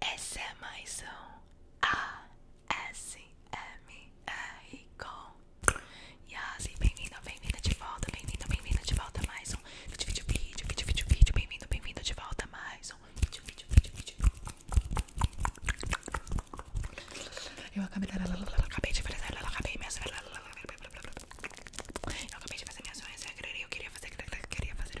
Essa é mais um ASMR com Yasi. Bem-vindo, bem-vinda de volta, bem-vindo, bem-vinda de volta mais um vídeo, vídeo, vídeo, vídeo, vídeo, Bem-vindo, bem-vindo de volta mais um vídeo, vídeo, vídeo, vídeo. Eu acabei, de fazer, acabei minhas... Eu acabei de fazer minhas unhas, eu queria fazer, queria fazer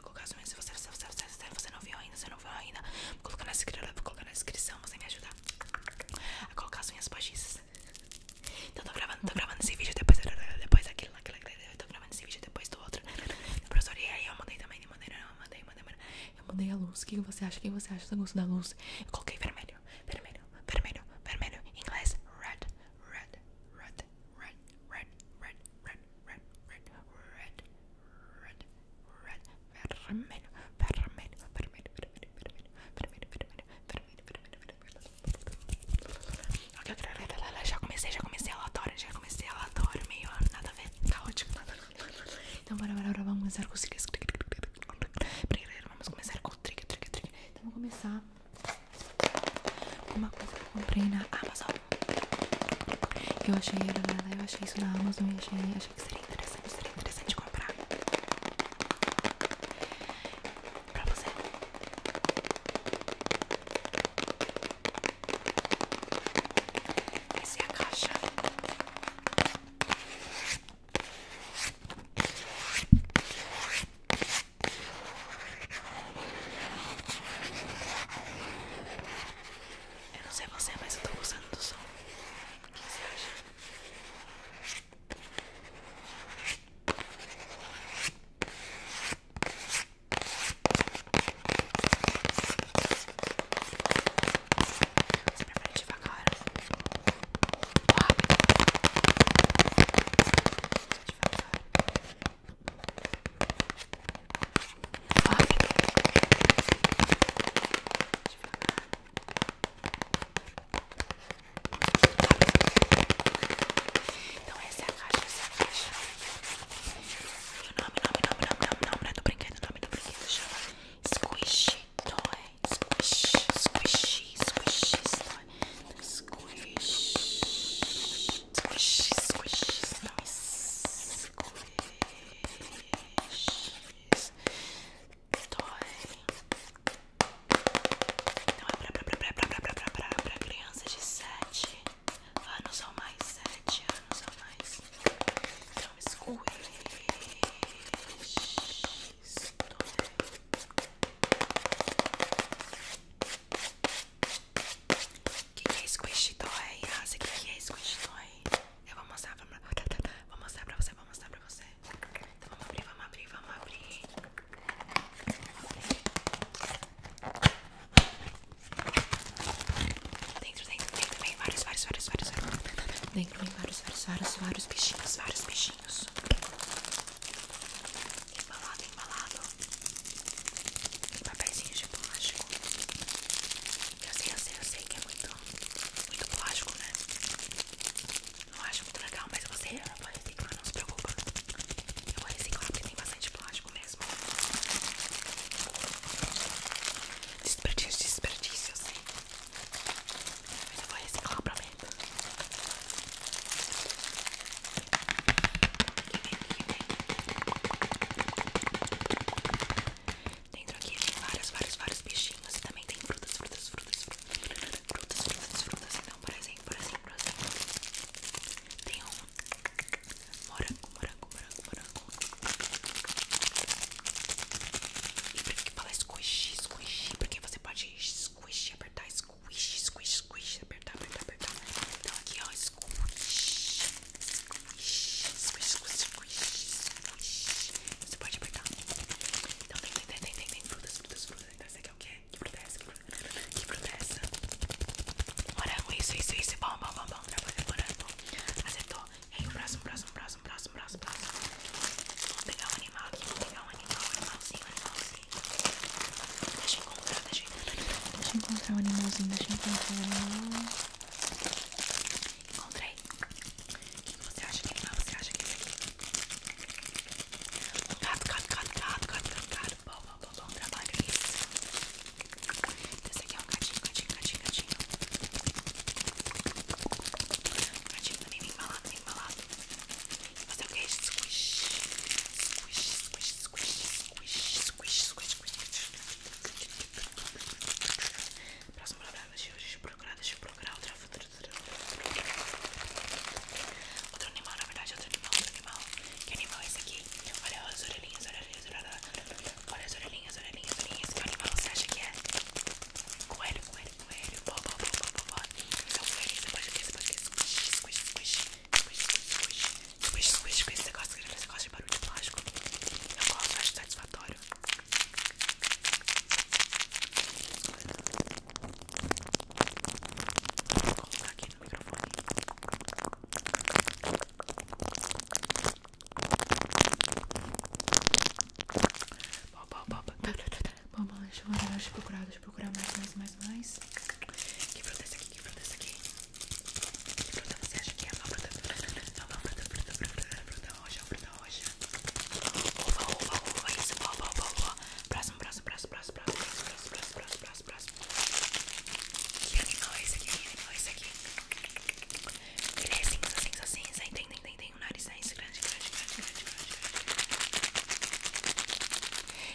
colocar as unhas. Se você, você, você, você, você não viu ainda, você não viu ainda, vou colocar na descrição, vou colocar na descrição, você me ajudar a colocar as unhas postiças. Então tô gravando, tô gravando esse vídeo depois, depois aquilo, aquilo, aquilo, tô gravando esse vídeo depois do outro. Professor, e aí eu mandei também, mandei, não, Eu mandei a luz, o que você acha? que você acha do gosto da luz? coloquei vermelho, vermelho, vermelho, vermelho, inglês, red, red, red, red, red, red, red, red, red, red, red, red, vermelho, vermelho, vermelho, vermelho, vermelho, vermelho, vermelho, vermelho, vermelho, vermelho. Já comecei, já comecei a relatório, já comecei a relatório, meio nada a ver, caótico, nada a ver. Então bora, bora, bora, vamos começar com os triggers. Vamos começar com o trigger, trigger, trigger. Então vamos começar com uma coisa Comprei na Amazon. Eu achei era nada, eu achei isso na Amazon e achei, achei que seria interessante, seria interessante comprar. Pra você. Essa é a caixa. Eu não sei você, mas eu tô gostando do som. O que você acha? Você prefere devagar? Ou rápido? Devagar. Então essa é a caixa, essa é a caixa. E o nome, nome, nome, nome, nome, nome do brinquedo, nome do brinquedo chama Squish Toy. Squish, squish, squish, squish squish, squish, squish, squish. Então é pra, pra, pra, pra, pra, pra, pra, pra crianças de sete anos ou mais, sete anos ou mais. Então, squish, squish que, que é Squish Toy? Nossa, ah, o que, que é Squish Toy? Eu vou mostrar pra Vou mostrar pra você, vou mostrar pra você. Então vamos abrir, vamos abrir, vamos abrir. Dentro, dentro, dentro vem vários, vários, vários, vários. Dentro vem vários, vários, vários, vários bichinhos, vários bichinhos. E vamos lá embalado em papéis de plástico. Eu sei, eu sei, eu sei que é muito, muito plástico, né? Não acho muito legal, mas você vou reciclar, não se preocupa. Eu vou reciclar porque tem bastante plástico mesmo. Desperdício, desperdício, eu sei. Mas eu vou reciclar, prometo. Dentro aqui tem vários, vários, vários bichinhos. E também tem frutas, frutas, frutas, frutas, frutas, frutas, frutas. Então, por exemplo, por exemplo, tem um morango, morango, morango, morango. E por que fala squish, squish? Porque você pode squish, apertar, squish, squish, squish, apertar, apertar, apertar. Então, aqui ó, Squish. Squish. Squish. Squish. Squish. Você pode apertar. Então tem, tem, tem, tem, tem frutas, frutas, frutas. Então essa aqui é o quê? Que fruta é essa? Que fruta é essa? Morango, isso, isso, isso. Bom, bom, bom, bom. Trabalho morango. Acertou. E aí o próximo, próximo, próximo, próximo, próximo, próximo. Vamos pegar um animal aqui. Vamos pegar um animal, um animalzinho, um animalzinho. Deixa eu encontrar, deixa eu encontrar. Deixa eu encontrar o animalzinho, deixa eu encontrar o animal. Encontrei. O que você acha que animal você acha que é? Um gato, gato, gato, gato, gato, gato, gato. Bom, bom, bom, bom trabalho. Isso. Esse aqui é um gatinho, gatinho, gatinho, gatinho. Gatinho também bem embalado, bem embalado. Fazer o que? Squish. Squish, squish, squish, squish squish, squish, squish. Próximo programa, deixa eu procurar, deixa eu procurar outra, outra, outra, outra. Outro animal, na verdade, outro animal, outro animal. Que animal é esse aqui? Olha as orelhinhas, orelhinhas, orelhinhas. Olha as orelhinhas, orelhinhas, orelhinhas. Que animal você acha que é? Coelho, coelho, coelho. Bó, bó, bó, bó, bó, bó. Então, coelho, você pode ver, você pode ver. Squish, squish, squish. Depois squish com esse negócio que esse negócio de barulho de plástico. Eu acho satisfatório. Vou colocar aqui no microfone. Bom, bom, bom, bom, bom, bom, deixa eu procurar, deixa eu procurar mais, mais, mais, mais. Que fruta é essa aqui? Que fruta é essa aqui? Que fruta você acha que é? Uma fruta, uma fruta, fruta, fruta, fruta roxa, fruta roxa. Uva, uva, uva, isso, uva, uva, uva. Próximo, próximo, próximo, próximo, próximo, próximo, próximo, próximo, próximo. Que animal é esse aqui? Que animal é esse aqui? Ele é cinza, cinza, cinza. Tem, tem, tem, tem um nariz é grande, grande, grande, grande, grande, grande.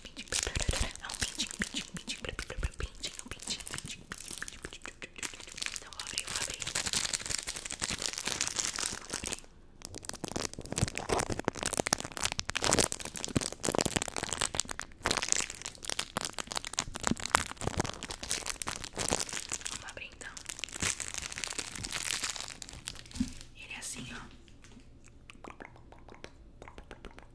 É um pintinho, pintinho, é um pintinho, pintinho, pintinho, pintinho, pintinho, pintinho, pintinho. Então vou abrir, vou abrir. Vou abrir. Vamos abrir então. Ele é assim, ó. Olha aqui,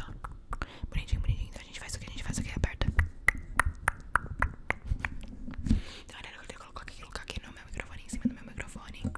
ó. Bonitinho, bonitinho. Então a gente faz o que a gente faz o que aperta. Então, olha, eu vou colocar aqui, colocar aqui no meu microfone, em cima do meu microfone.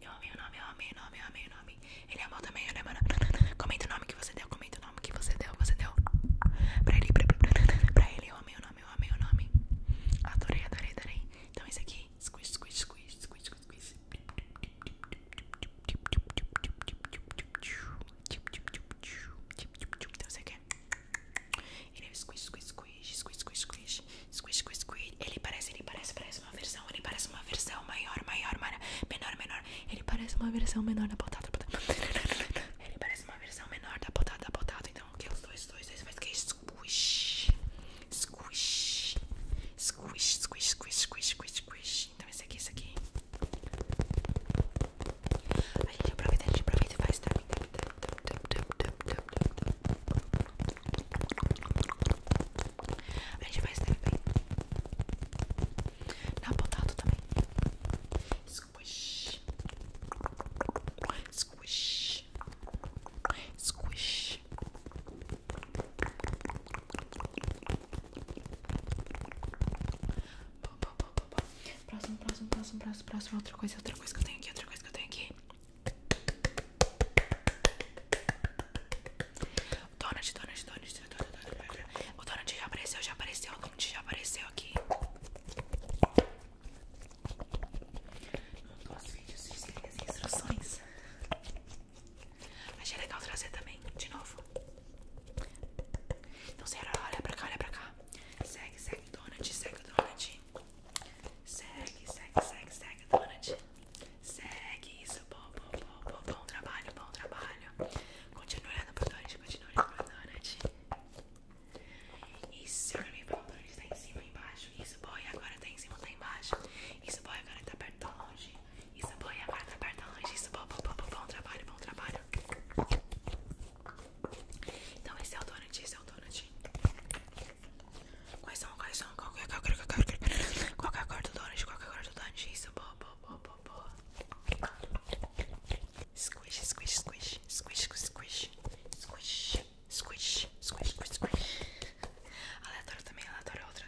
Eu amei o nome, eu amei o nome, eu amei o nome. Ele amou é também, ele né, amou. Comenta o nome que você deu, comenta o nome que você deu, você deu. Pra ele, pra, pra, pra ele, eu amei o nome, eu amei o nome. Adorei, adorei, adorei. Então esse aqui, squish, squish, squish, squish, squish. Então você quer? É- ele é squish, squish, squish, squish, squish, squish, squish, squish, Ele parece, ele parece, parece uma versão, ele parece uma versão maior, maior, maior, menor, menor. Ele parece uma versão menor da batata, Ele parece uma versão menor da batata, da batata. Então, que é os dois, dois, dois, faz que é squish, squish, squish, squish, squish, squish, squish, Então esse aqui, esse aqui. A gente aproveita, a gente aproveita e faz tap, a gente vai escrever na potato também. Squish, squish, squish. Próximo, próximo, próximo, próximo, próximo. Outra coisa, outra coisa que eu tenho aqui, outra coisa que eu tenho aqui. Donald, Donald, Donald, Donald, Donald. O Donald já apareceu, já apareceu, o Donald já apareceu aqui. Os vídeos dizem as instruções. Achei legal trazer também, de novo. Então, senhora, olha pra cá, olha pra cá. Segue, segue, Donald, segue, Donald. Segue, segue, segue, segue, Donald. Segue isso, bom, bom, bom, bom, trabalho, bom trabalho. Continua olhando o Donut, continua olhando o Donut. Isso, foi olhei pro Donut, tá em cima, embaixo. Isso, boy, agora tá em cima, tá embaixo. Isso, foi agora tá perto, tá longe. Isso, foi agora tá perto, tá longe. Isso, bom, bom, bom, bom, bom trabalho, bom trabalho. Então esse é o Donut, esse é o Donut. Quais são, quais são? Qual é, é, é, é a cor, qual é a cor do Donald? Qual é a cor do Donald? Isso, boa, boa, boa, boa, boa. Squish, squish, squish, squish, squish, squish, squish, squish, squish, squish. Aleatório também, aleatório outra.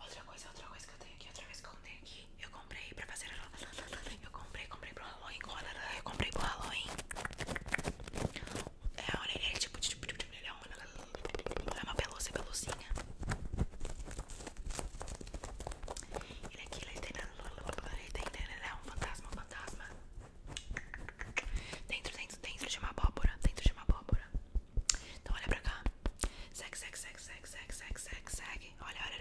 Outra coisa, outra coisa que eu tenho aqui, outra vez que eu tenho aqui. Eu comprei pra fazer. Eu comprei, comprei pro Halloween. Eu comprei pro Halloween. É olha ele é tipo. Ele é uma, é uma pelúcia, pelucinha. Ele aqui, ele tem. Ele tem. Ele é um fantasma, um fantasma. Dentro, dentro, dentro de uma abóbora. Dentro de uma abóbora. Então olha pra cá. Segue, segue, segue, segue, segue, segue, segue, segue. Olha, olha.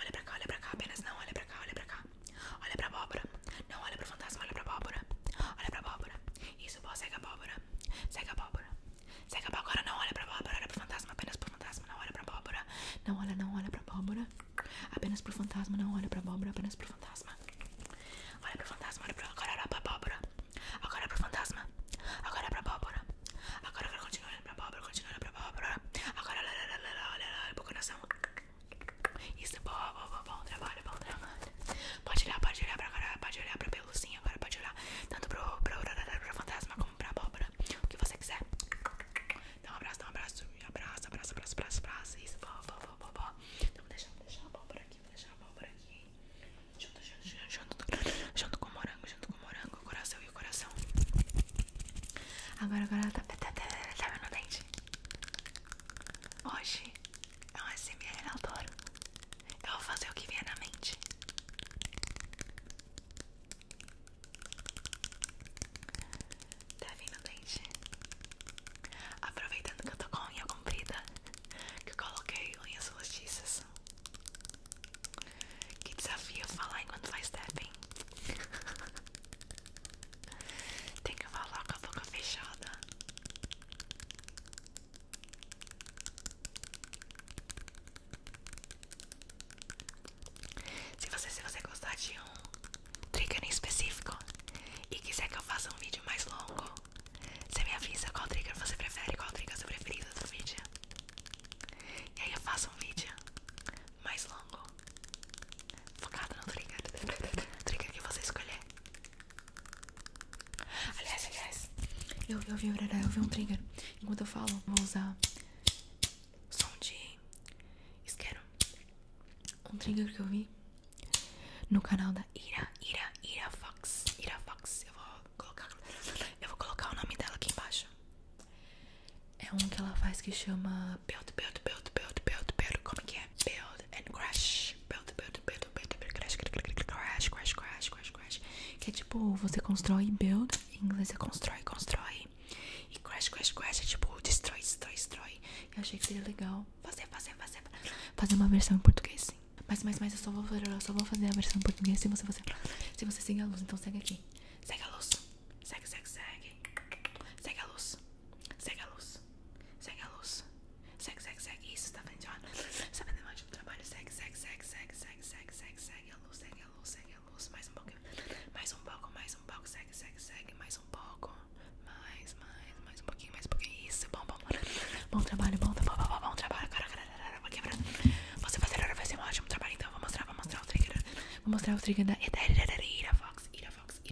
Olha pra cá, olha pra cá. Apenas não, olha pra cá, olha pra cá. Olha pra abóbora. Não, olha pro fantasma, olha pra abóbora. Olha pra abóbora. Isso, vó, segue a bóbora Segue a bóbora Segue a abóbora. Não olha pra bóbora olha pro fantasma. Apenas pro fantasma, não olha pra bóbora Não olha, não olha pra bóbora Apenas pro fantasma, não olha pra bóbora Apenas pro fantasma. Olha pro fantasma, olha Agora olha pra bóbora Agora é pro fantasma. Agora é pra bóbora Agora, agora continua olhando pra bóbora continua olhando pra bóbora Agora olha, olha, olha, olha, olha pro coração. Isso, bom, bom, bom, bom trabalho, bom trabalho. Pode olhar, pode olhar pra cara, pode olhar pra pelucinha, agora pode olhar tanto pro, pro, pro, pro fantasma como pra abóbora. O que você quiser. Dá então, um abraço, dá um abraço. Abraço, abraço, abraço, abraço, Isso, vó, vó, vó, vó, Então vou deixar, deixar a abóbora aqui, vou deixar a abóbora aqui. Junto, junto, junto, junto, junto com o morango, junto com o morango, coração e o coração. Agora, agora ela tá, tá, tá, tá, tá dente. Hoje é um SMR aleatório. Eu vou fazer o que vier na mente. Tá vindo dente? Aproveitando que eu tô com a unha comprida, que eu coloquei unhas postiças. Que desafio falar enquanto faz tapping. Tem que falar com a boca fechada. Se você, se você gostar de um trigger em específico e quiser que eu faça um vídeo mais longo, você me avisa qual trigger você prefere, qual trigger é seu preferido do vídeo. E aí eu faço um vídeo mais longo, focado no trigger, trigger que você escolher. Aliás, aliás, eu, vi eu vi um trigger. Enquanto eu falo, vou usar som de isqueiro. Um trigger que eu vi no canal da Ira, Ira, Ira Fox. Ira Fox, eu vou colocar. Eu vou colocar o nome dela aqui embaixo. É um que ela faz que chama Belt, Belt, Belt, Belt, Belt, Belt. Como é que é? Build and Crash. Build, build, build, build, crash, crash, crash, crash, crash, crash. Que é tipo, você constrói build. Em inglês é constrói, constrói. E crash, crash, crash é tipo, destrói, destrói, destrói. Eu achei que seria legal fazer, fazer, fazer. Fazer uma versão em português, sim. Mas, mas, mas eu só vou, eu só vou fazer a versão em português se você, você, se você seguir a luz. Então segue aqui. Segue a luz. Segue, segue, segue. Segue a luz. Segue a luz. Segue a luz. Segue, segue, segue. Isso, tá vendo? Tá fazendo um ótimo trabalho. Segue, segue, segue, segue, segue, segue, segue, segue a luz, segue a luz, segue a luz. Mais um pouco, mais um pouco, mais um pouco. Segue, segue, segue. Mais um pouco. Mais, mais, mais um pouquinho, mais um pouquinho. Isso, bom, bom. Bom trabalho, bom, bom, bom, bom trabalho. Cara, cara, cara, vou quebrar. Você fazer vai ser um ótimo trabalho. Então, vou mostrar, vou mostrar o trigger. Vou mostrar o trigger da Ira Fox. Ira Fox,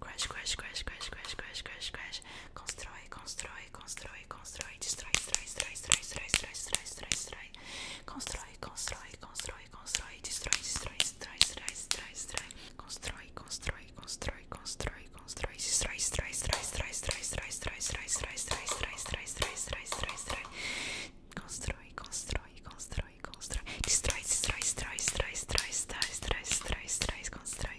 Crash, crash, crash, crash, crash, crash, crash, crash. Constrói, constrói, constrói, constrói, destrói, destrói, destrói, destrói, destrói, destrói, destrói, destrói. Constrói, constrói, constrói, constrói, destrói, destrói, destrói, destrói, destrói, destrói. Constrói, constrói, constrói, constrói, constrói, destrói, destrói, destrói, destrói, destrói, destrói, destrói, destrói, destrói, destrói, destrói, destrói. Constrói, constrói, constrói, constrói. Destrói, destrói, destrói, destrói, destrói, destrói, destrói, destrói, destrói,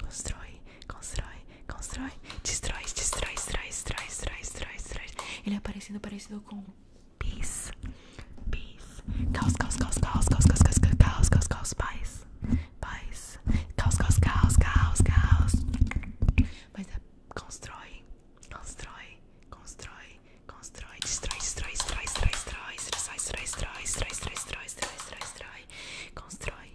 Constrói, constrói, constrói. Destrói, destrói, destrói, destrói, destrói, destrói, destrói. Ele é parecido, parecido com peace. Peace. Caos, caos, caos, caos, caos, caos, caos, caos, caos, caos, paz. Paz. Caos, caos, caos, caos, caos. Mas é constrói, constrói, constrói, constrói, destrói, destrói, destrói, destrói, destrói, destrói, destrói, destrói, destrói, destrói, destrói, destrói, destrói, constrói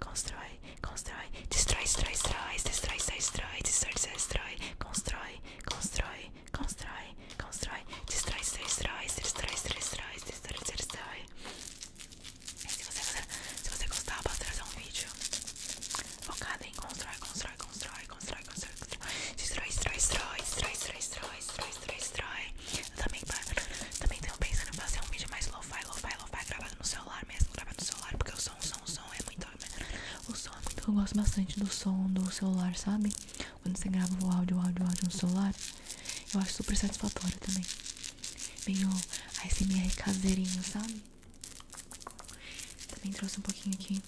constrói, constrói, destrói, destrói, destrói, destrói, destrói, destrói, destrói, constrói, constrói, constrói, constrói, destrói, destrói, destrói, destrói, destrói, destrói. Se você, se você gostar, posso trazer um vídeo focado em constrói, constrói, constrói, constrói, constrói, destrói, destrói, destrói, destrói, destrói, destrói, Também, também tenho pensando em fazer um vídeo mais lo-fi, lo-fi, ela vai gravar no celular mesmo, gravar no celular, porque o som, o som, o som é muito. O som é muito. Eu gosto bastante do som do celular, sabe? Quando você grava o áudio, o áudio, o áudio no celular, eu acho super satisfatório também. Meio ASMR caseirinho, sabe? Também trouxe um pouquinho aqui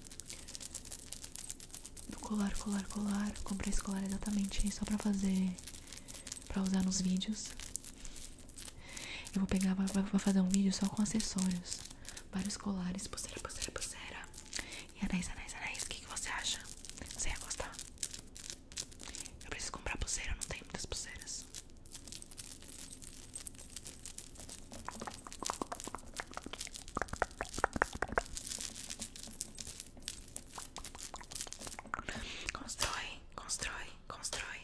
do colar, colar, colar. Comprei esse colar exatamente só pra fazer pra usar nos vídeos. Eu vou pegar, vou fazer um vídeo só com acessórios. Vários colares, pulseira, pulseira, pulseira. E anéis, anéis, anéis. O que, que você acha? Você ia gostar? Eu preciso comprar pulseira, não tem muitas pulseiras. Constrói, constrói, constrói.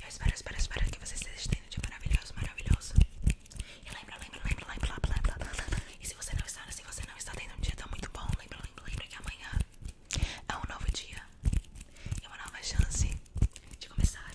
Eu espero, espero, espero que você esteja tendo um dia maravilhoso, maravilhoso. E lembra, lembra, lembra, lembra, lembra, lembra. E se você não está, se você não está tendo um dia tão muito bom, lembra, lembra, lembra que amanhã é um novo dia. E é uma nova chance de começar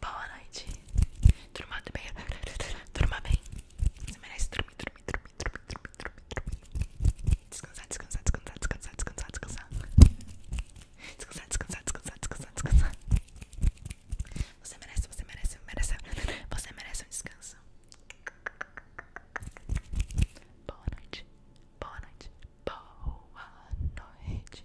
Boa noite. Turma bem. Turma bem. Você merece dormir, dormir, dormir, dormir, dormir, dormir. Descansar, descansar, descansar, descansar, descansar, descansar. Descansar, descansar, descansar, descansar, descansar. Você merece, você merece, merece. Você merece um descanso. Boa noite. Boa noite. Boa noite.